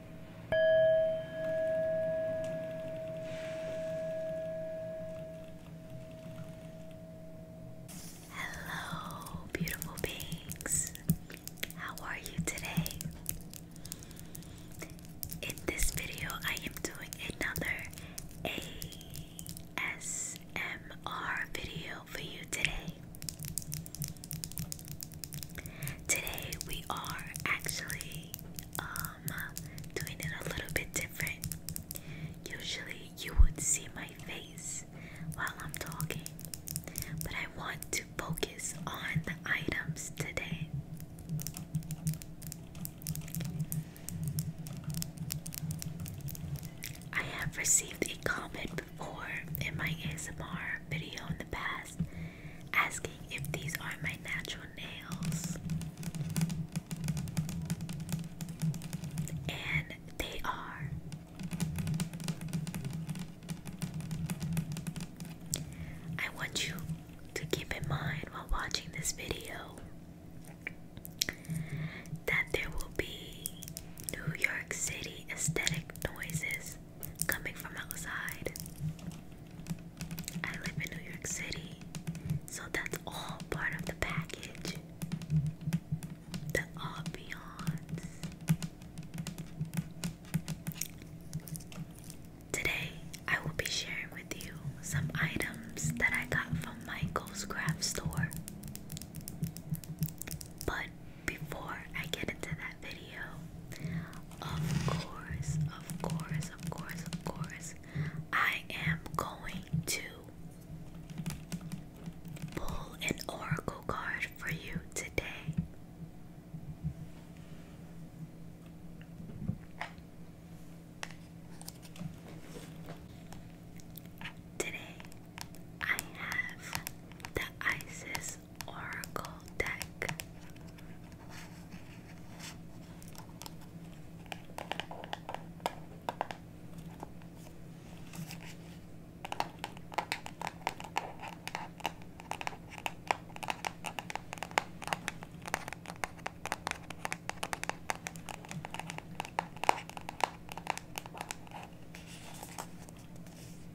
Hello, beautiful beings. How are you today? In this video, I am doing another ASMR video for you today. Today we are actually um, doing it a little bit different. Usually you would see my face while I'm talking, but I want to focus on the items today. I have received a comment before in my ASMR video in the past asking if these are my natural nails. And they are. I want you to keep in mind while watching this video that there will be New York City aesthetic noises coming from outside. I live in New York City, so that's all part of the package. The ambiance. Today, I will be sharing with you some items that I got from Michael's craft store. But before I get into that video, of course, of course, of course, of course, I am going to pull an oracle card for you today. Today, I have the Isis Oracle deck.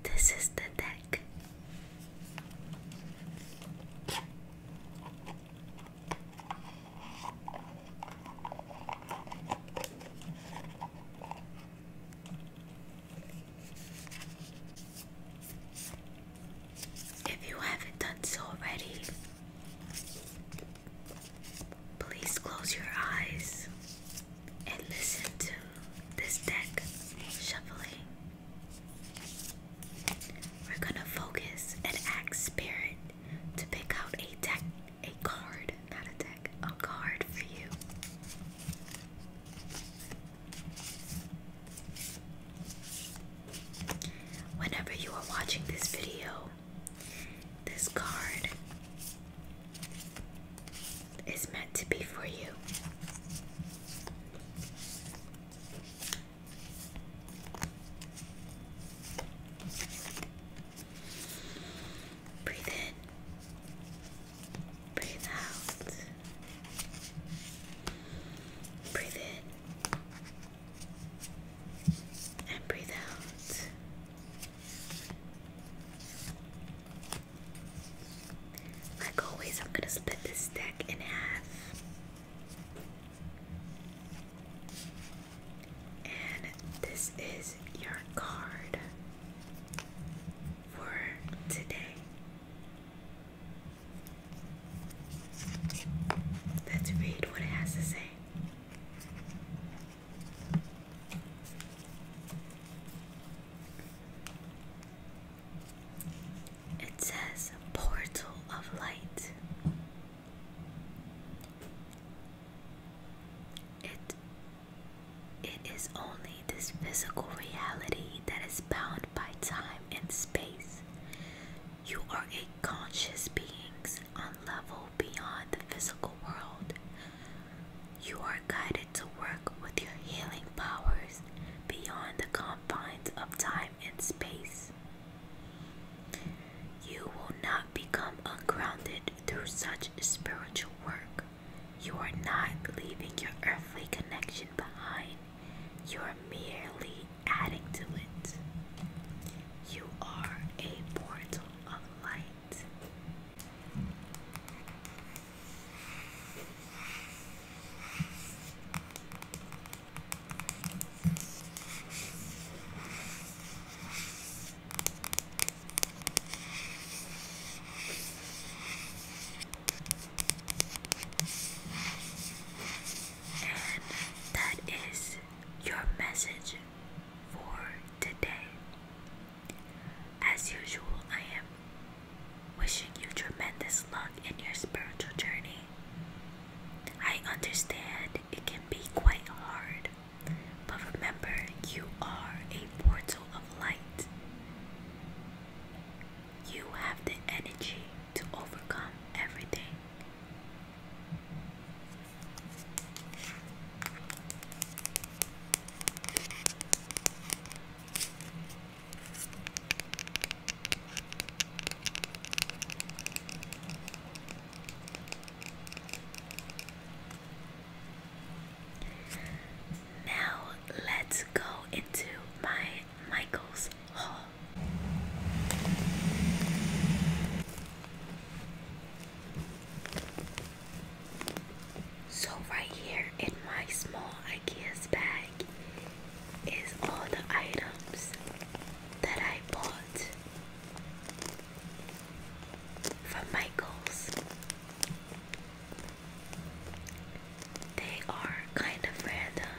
And this is the deck. If you haven't done so already, please close your eyes and listen to this deck shuffling. We're going to focus and ask spirit to pick out a deck, a card, not a deck, a card for you. Whenever you are watching this video, this card is meant to be for you. Breathe in. Breathe out. Breathe in. And breathe out. Like always, I'm going to split this deck in half. And this is your card for today. Let's read what it has to say. It says Portal of Light. It it is only this physical reality that is bound by time and space. You are a conscious beings on level beyond the physical world. You are guided to work with your healing powers beyond the confines of time and space. You will not become ungrounded through such spiritual work. You are not leaving your earthly connection behind, you are merely adding to it. You are a portal of light. And that is your message for today. As usual, I am wishing you tremendous luck in your spiritual journey. I understand it can be quite hard. But remember, you are a portal of light. You have the energy to overcome everything. Now let's go into my Michael's hall. So right here in my small IKEA's bag is all the items that I bought from Michaels. They are kind of random,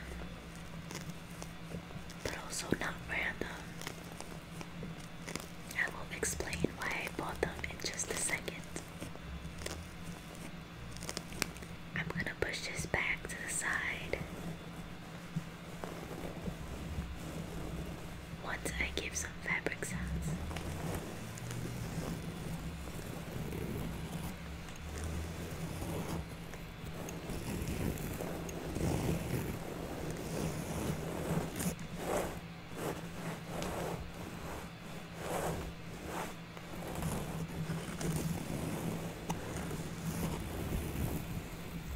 but also not random. I will explain why I bought them in just a second. I'm gonna push this back to the side once I give some fabric sounds.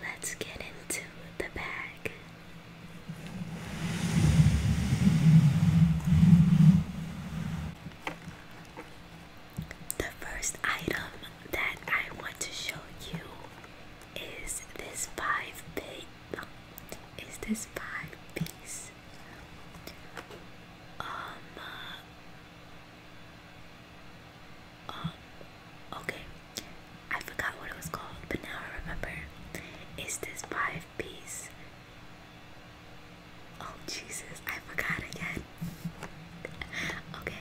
Let's get into the bag. The first item that I want to show you is this five piece. Is this five piece? Um. Uh, um. Okay. I forgot what it was called, but now I remember. Is this five piece? Oh Jesus! I forgot again okay,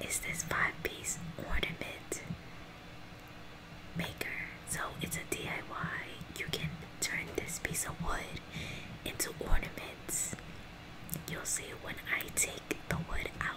is this five piece ornament maker? So it's a DIY. You can turn this piece of wood into ornaments. You'll see when I take the wood out.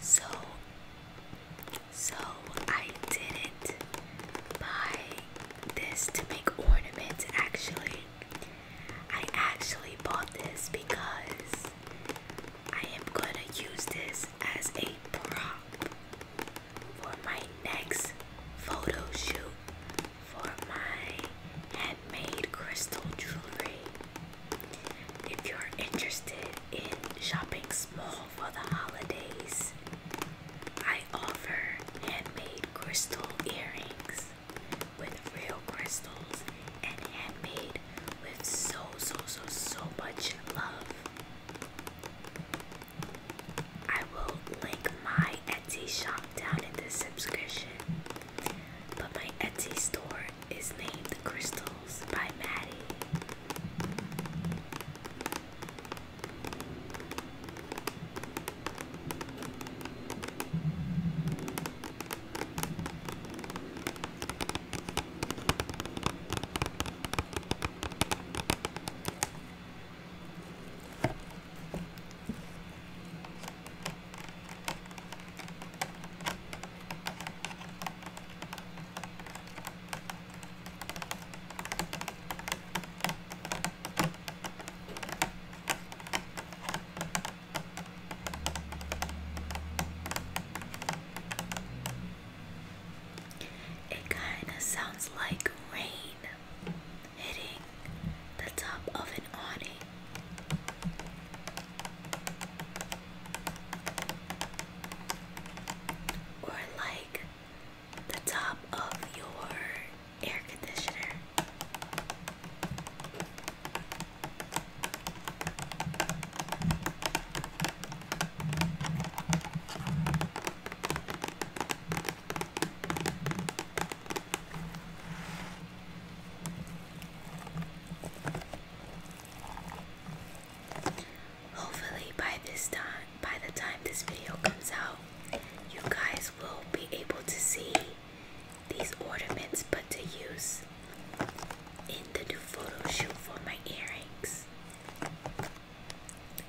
So, so I did it buy this to make ornaments actually. I actually bought this because I am gonna use this as a prop for my next photo shoot for my handmade crystal jewelry. If you're interested in shopping small for the holidays, I offer handmade crystal earrings with real crystals and handmade with so, so, so, so much love. I will link my Etsy shop down in the description. But my Etsy store is named Crystals by Maddie. It kind of sounds like rain hitting the top of an awning. Or like the top of your air conditioner. Hopefully by this time by the time this video comes out you guys will be able to see these ornaments put to use in the new photo shoot for my earrings.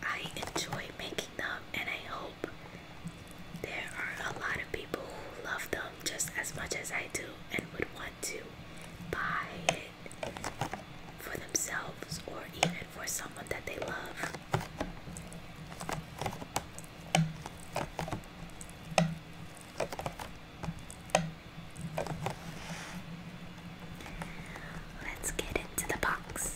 I enjoy making them and I hope there are a lot of people who love them just as much as I do and would want to buy it for themselves or even for someone that they love. Let's get into the box.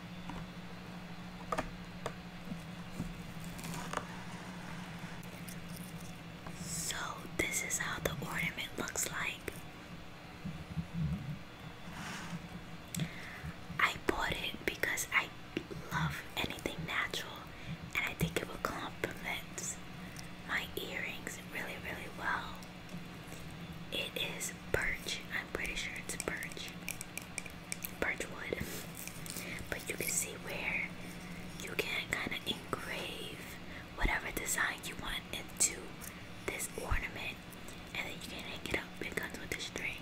So, this is how the ornament looks like. I bought it because I love anything natural and I think it will complement my earrings really, really well. It is birch. I'm pretty sure it's birch. Birch wood. But you can see where you can kind of engrave whatever design you want into this ornament and then you can hang it up. It comes with a string.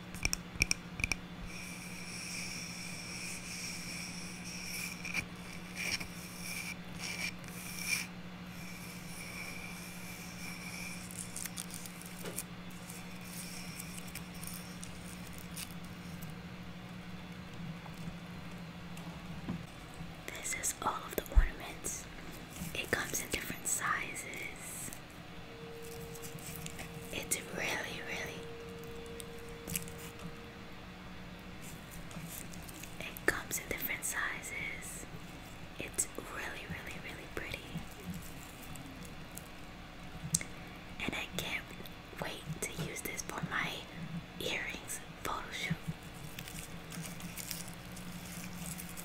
This is all of the ornaments. It comes in different sizes. It's really, really. It comes in different sizes. It's really, really, really pretty. And I can't wait to use this for my earrings photo shoot.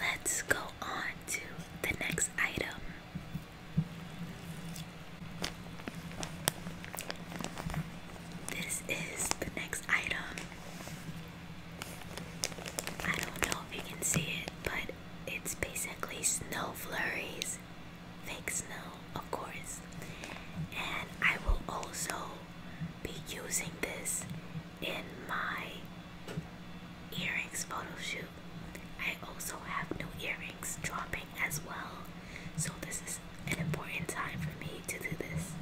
Let's go on to the next item. This is the next item. I don't know if you can see it, but it's basically snow flurries, fake snow, of course. And I will also be using this in my earrings photo shoot. I also have no earrings dropping as well. So this is an important time for me to do this.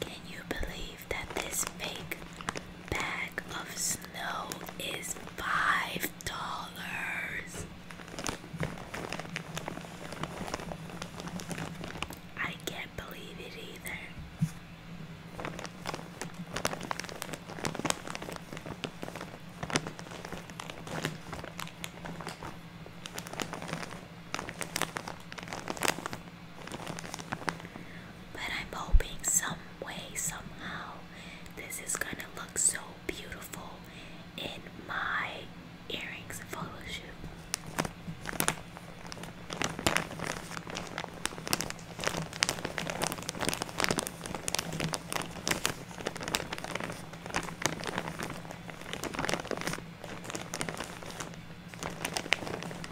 Can you believe that this fake bag of snow is five dollars. I can't believe it either. But I'm hoping some way, somehow, this is gonna look so beautiful in my earrings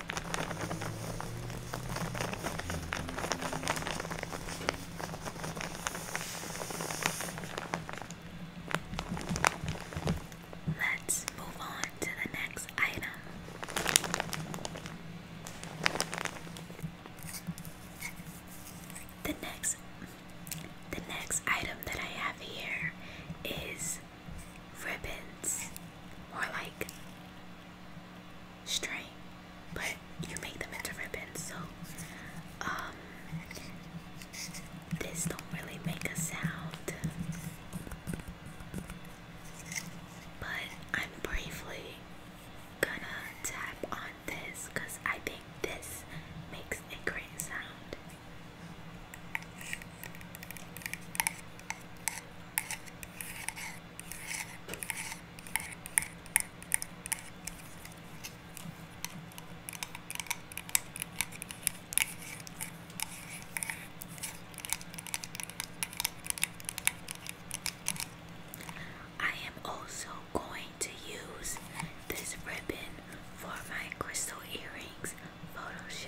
Let's move on to the next item. The next the next item that I have here is ribbons or like string, but you make them into ribbons. So, um, this don't really make a sound, but I'm briefly gonna tap on this because I think this makes a great sound. I am also going to use this ribbon for my crystal earrings photo shoot.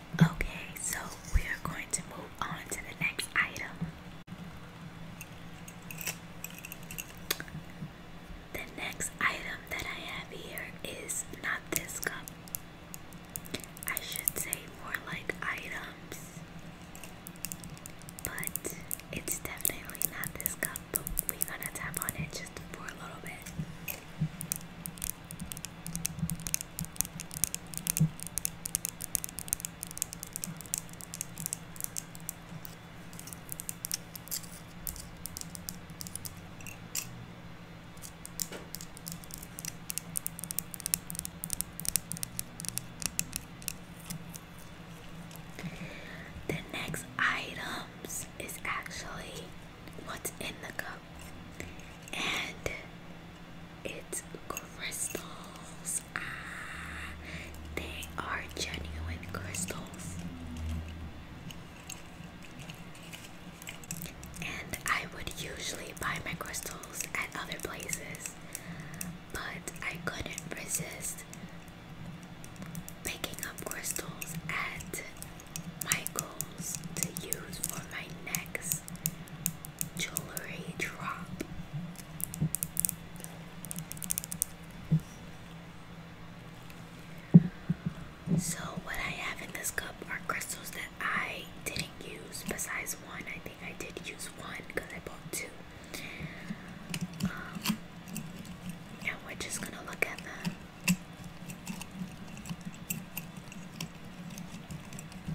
Okay, so we are going to move on to the next item. The next item that I have here is not this cup. I should say more like items. But it's definitely not this cup, we're gonna tap on it just for a little bit. The next items is actually what's in the cup, and it's crystals. Ah, they are genuine crystals. And I would usually buy my crystals at other places, but I couldn't resist picking up crystals at Michael's to use for my next jewelry drop. So, what I have in this cup are crystals that I didn't use, besides one. I think I did use one because I bought two. Um, and we're just gonna look at them.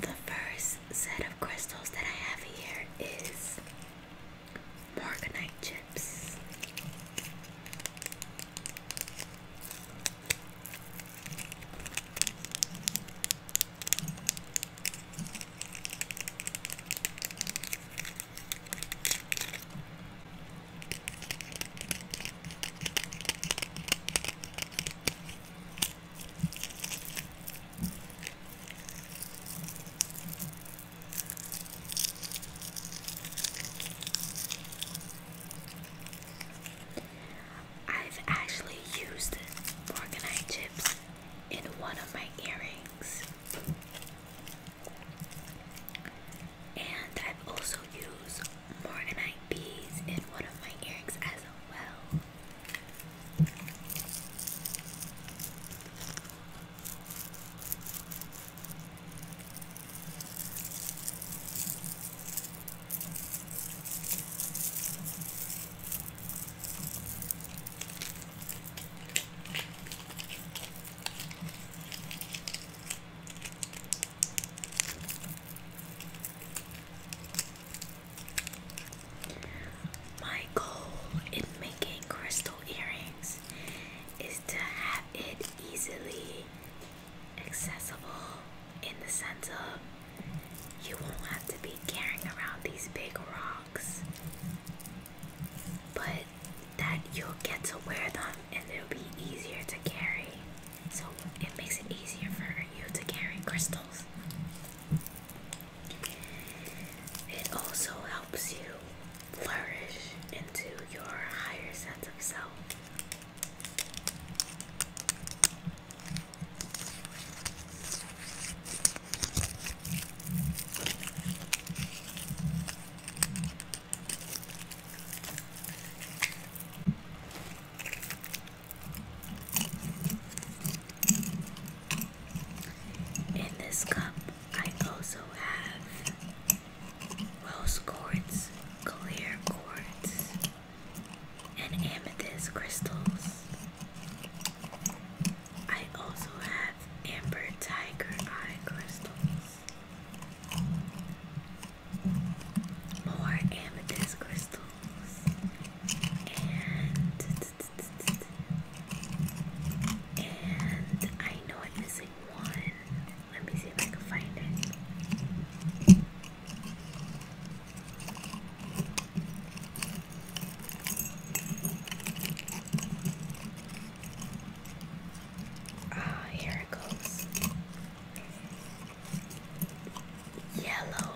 The first set of crystals that I have here is Morganite chips. I've actually used Morganite chips in one of my earrings. And i also used Morganite bees in one of my earrings as well. My goal in making crystal earrings is to have it easily accessible in the sense of you won't have to be carrying around these big rocks but that you'll get to wear them and they will be easier to carry. So it makes it easier for you to carry crystals. It also helps you flourish into your higher sense of self. In this cup, I also have rose quartz, clear quartz, and amethyst crystals. I also have amber tiger eye crystals, more amethyst crystals, and and I know I'm missing one. Let me see if I can find it. Ah, here it goes. Yellow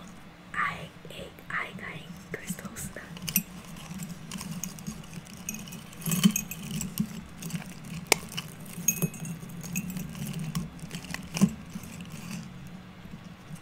eye egg eye eye crystals.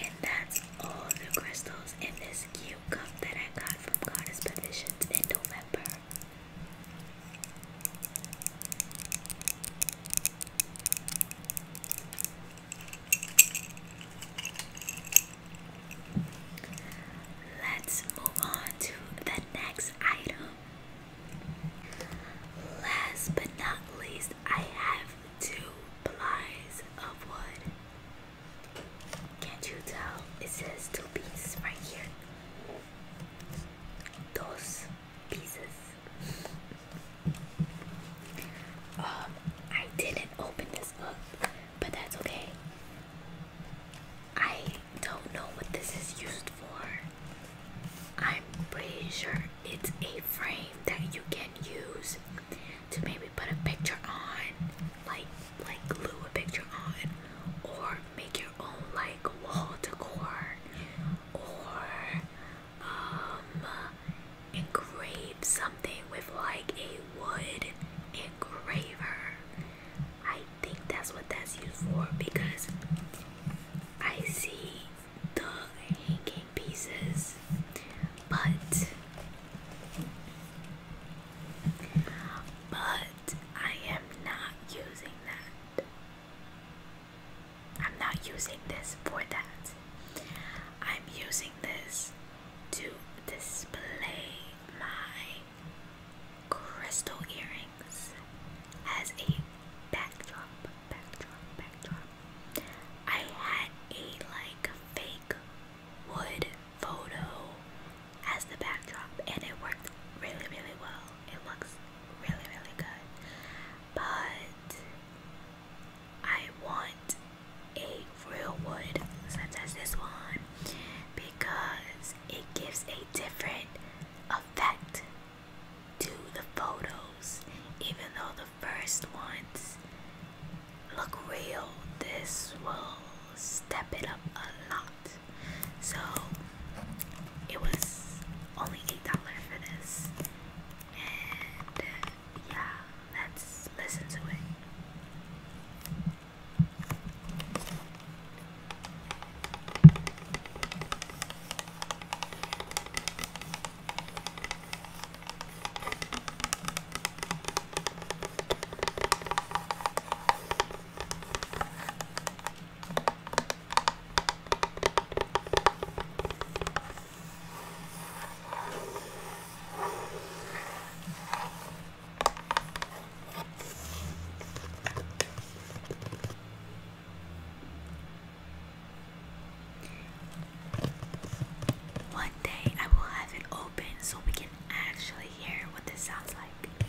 And that's all the crystals in this cute cup that I got from Goddess Petitions in November. Let's move on to the next item. Last but not least, I have two plies of wood. Can't you tell? It says two pieces right here. Those pieces. Um, I didn't open this up, but that's okay. I don't know what this is used for. I'm pretty sure it's a frame that you can use to maybe put a picture on, like like glue a picture on or make your own like wall decor or um engrave something with like a wood engraver. I think that's what that's used for because I see the hanging pieces, but but I am not using that. I'm not using this for that. I'm using this to display my crystal earrings as a backdrop, backdrop, backdrop. I had a like fake wood photo as the backdrop and it worked really really well. It looks really really good. But I want a real wood such as this one because it gives a different effect to the photos even though the first ones look real this will step it up a lot so it was only eight dollars for this. And yeah, let's listen one day I will have it open so we can actually hear what this sounds like.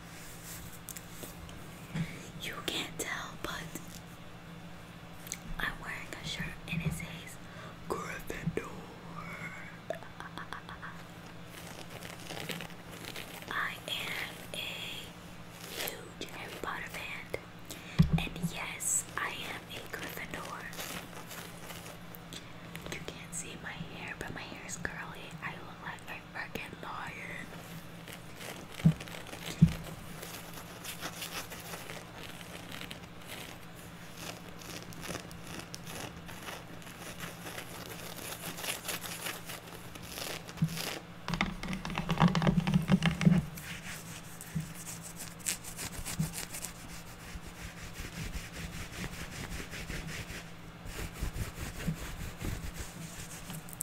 You can't tell, but I'm wearing a shirt and it says Gryffindor. I am a huge Harry Potter fan, and yes, I am a Gryffindor. You can't see my hair, but my hair is curly. I look like a fucking lion.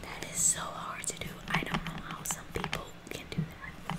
That is so hard to do. I don't know how some people can do that.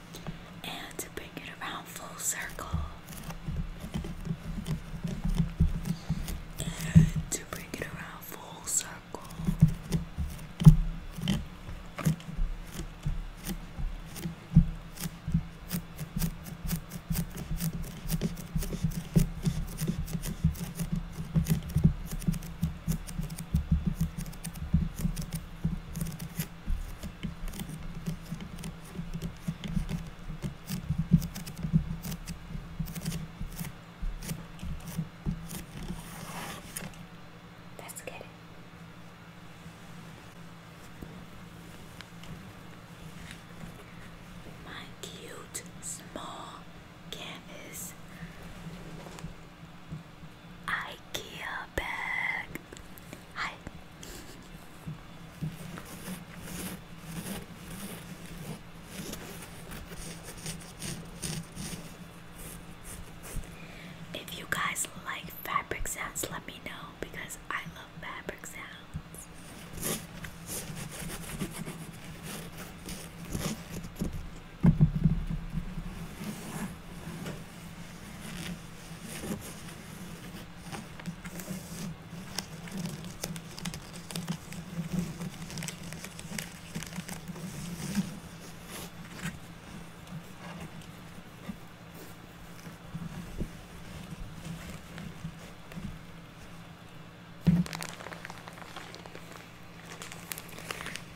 and to bring it around full circle and to bring it around full circle Let's get it. My cute small canvas IKEA bag. If you guys like fabric sounds, let me know because I love fabric sounds.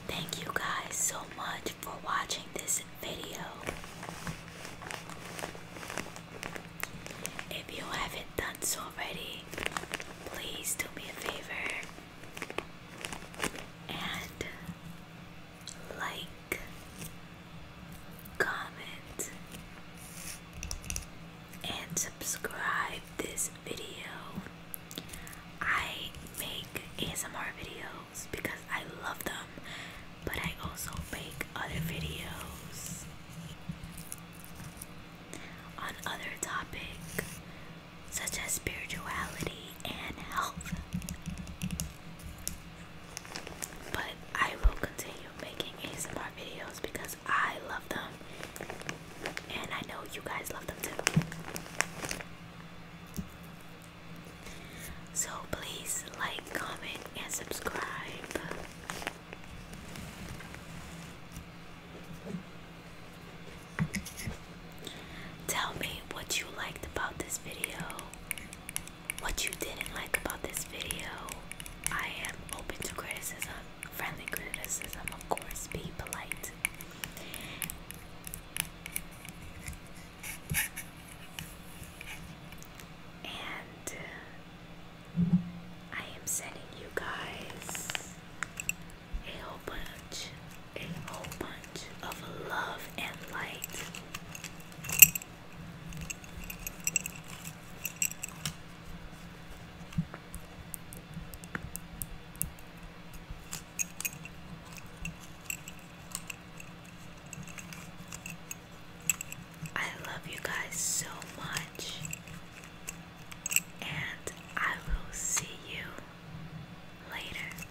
Thank you guys so much for watching this video. If you haven't done so already, please do me a favor and like, comment, and subscribe this video. I make ASMR videos because I love them, but I also make other videos on other topics such as spirituality and health. But I will continue making these ASMR videos because I love them and I know you guys love them too. So please like, comment, and subscribe. Tell me what you liked about this video, what you didn't like about this video. I am open to criticism, friendly criticism, of course, be polite. And uh, I am sending you guys a whole bunch, a whole bunch of love and light. I love you guys so much, and I will see you later.